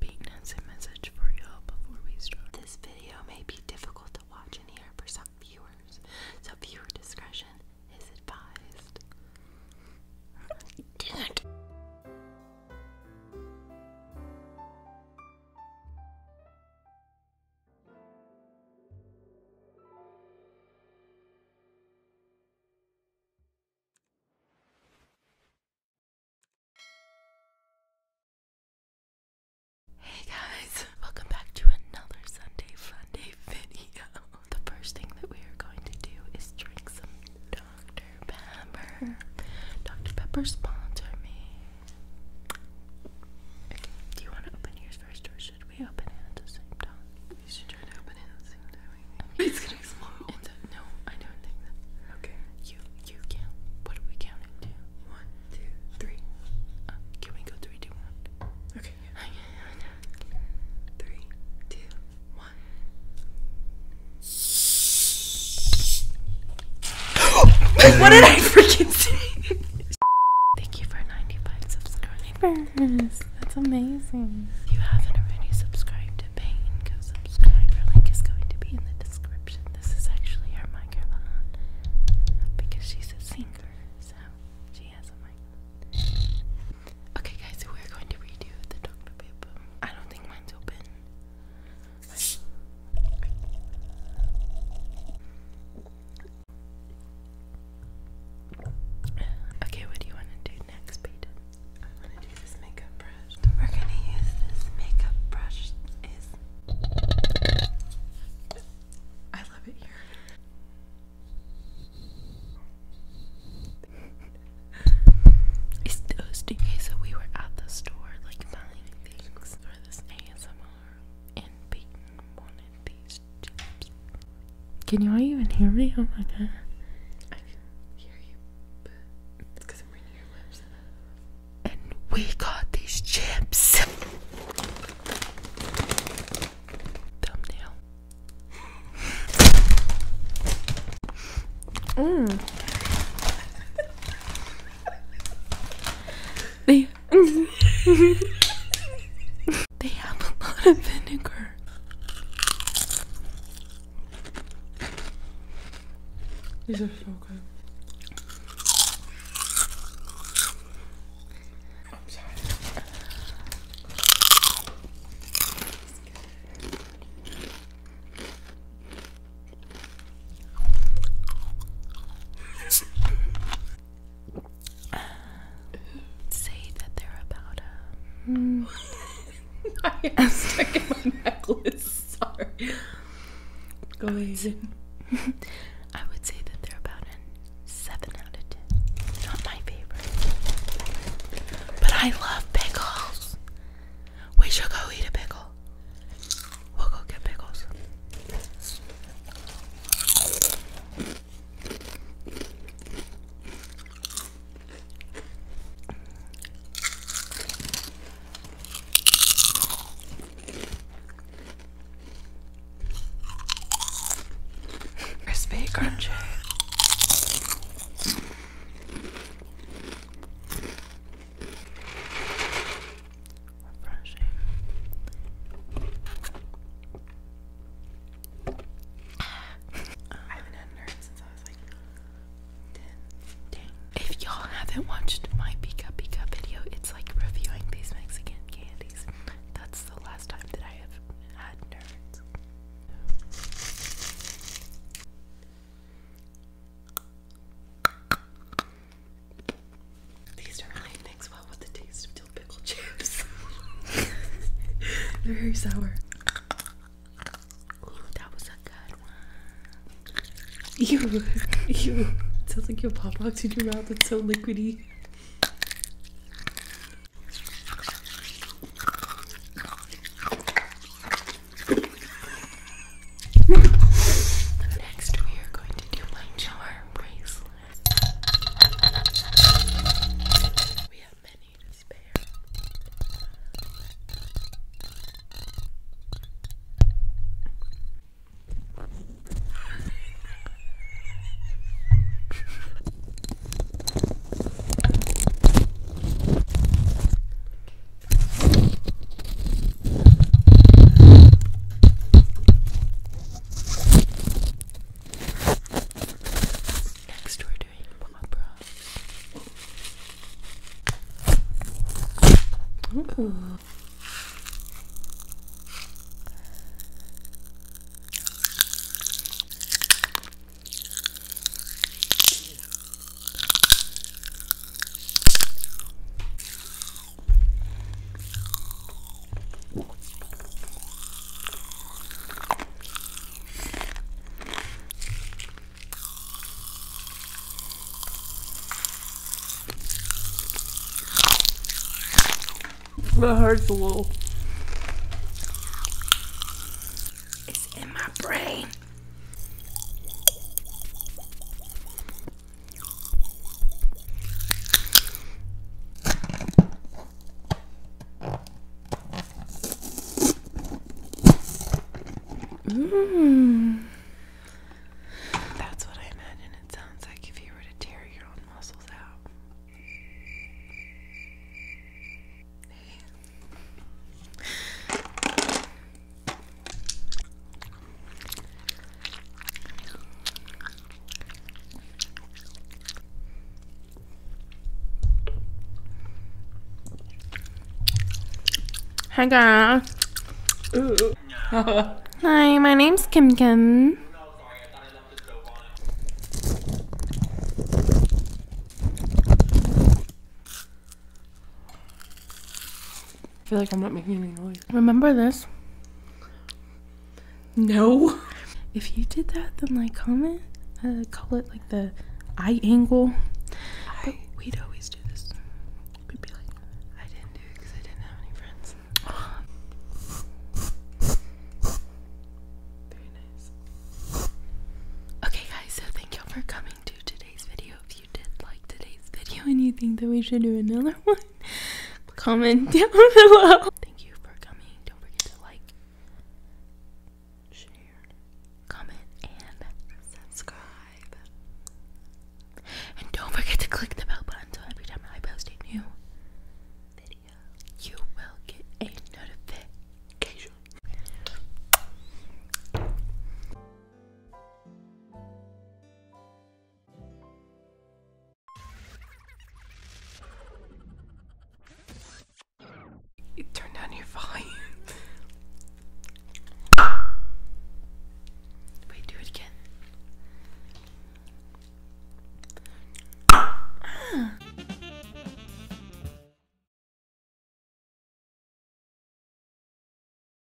Penis and message for you before we start. This video may be difficult to watch and hear for some viewers, so viewer discretion is advised. Dude. Hey guys, welcome back to another Sunday Funday video. The first thing that we are going to do is drink some Dr. Pepper. Dr. Pepper sponsor me. do you want to open yours first or should we open it at the same time? We should try to open it at the same time. It's gonna explode. no, I don't think that. Okay. You, you count. What are we counting to? Uh, can we go three, two, one? Okay. three, two, one. what did I freaking say? Thank you for 95 subscribers. That's amazing. You haven't already subscribed to Pain subscriber link is going to be in the description. This is actually her microphone because she's a singer, so she has a microphone. Okay, guys, we're going to redo the Dr. Pepper. I don't think mine's open. Okay, what do you want to do next, Peyton? I We're going to use this makeup brush. I love it here. it's toasty. Okay, so we were at the store, like buying things for this ASMR, and Peyton wanted these chips. Can y'all even hear me? Oh my god. I can hear you, but it's because I'm reading your lips. And we got these chips. Thumbnail. Mmm. they. They have a lot of vinegar. These are so good say that they're about um, a. I am stuck in my necklace. Sorry. Go ahead. I would say that they're about a seven out of ten. Not my favorite, but I love pickles. We should go eat a pickle. We'll go get pickles. Crispy, crunchy. Refreshing. If y'all haven't watched my Pika Pika video, it's like reviewing these Mexican candies. That's the last time that I have had nerds. These don't really Next one with the taste of dill pickle chips. They're very sour. Ooh, that was a good one. Ew, ew. sounds like you have pop rocks in your mouth. It's so liquidy. Next, we are going to do my charm bracelet. We have many to spare. Next, we're doing pop rocks. Ooh. It hurts a little. It's in my brain. Mm. That's what I imagine it sounds like if you were to tear your own muscles out. Hi guys. Hi, my name's Kim Kim. I feel like I'm not making any noise. Remember this? No. If you did that, then like comment. Uh, call it like the eye angle. we'd always do this. we be like, I didn't do it because I didn't have any friends. Very nice. Okay, guys, so thank y'all for coming to today's video. If you did like today's video and you think that we should do another one, Comment down below. Thank you for coming. Don't forget to like, share, comment, and subscribe. And don't forget to click the bell button so every time I post a new video, you will get a notification. You turn down your volume. Wait, do it again. Ah.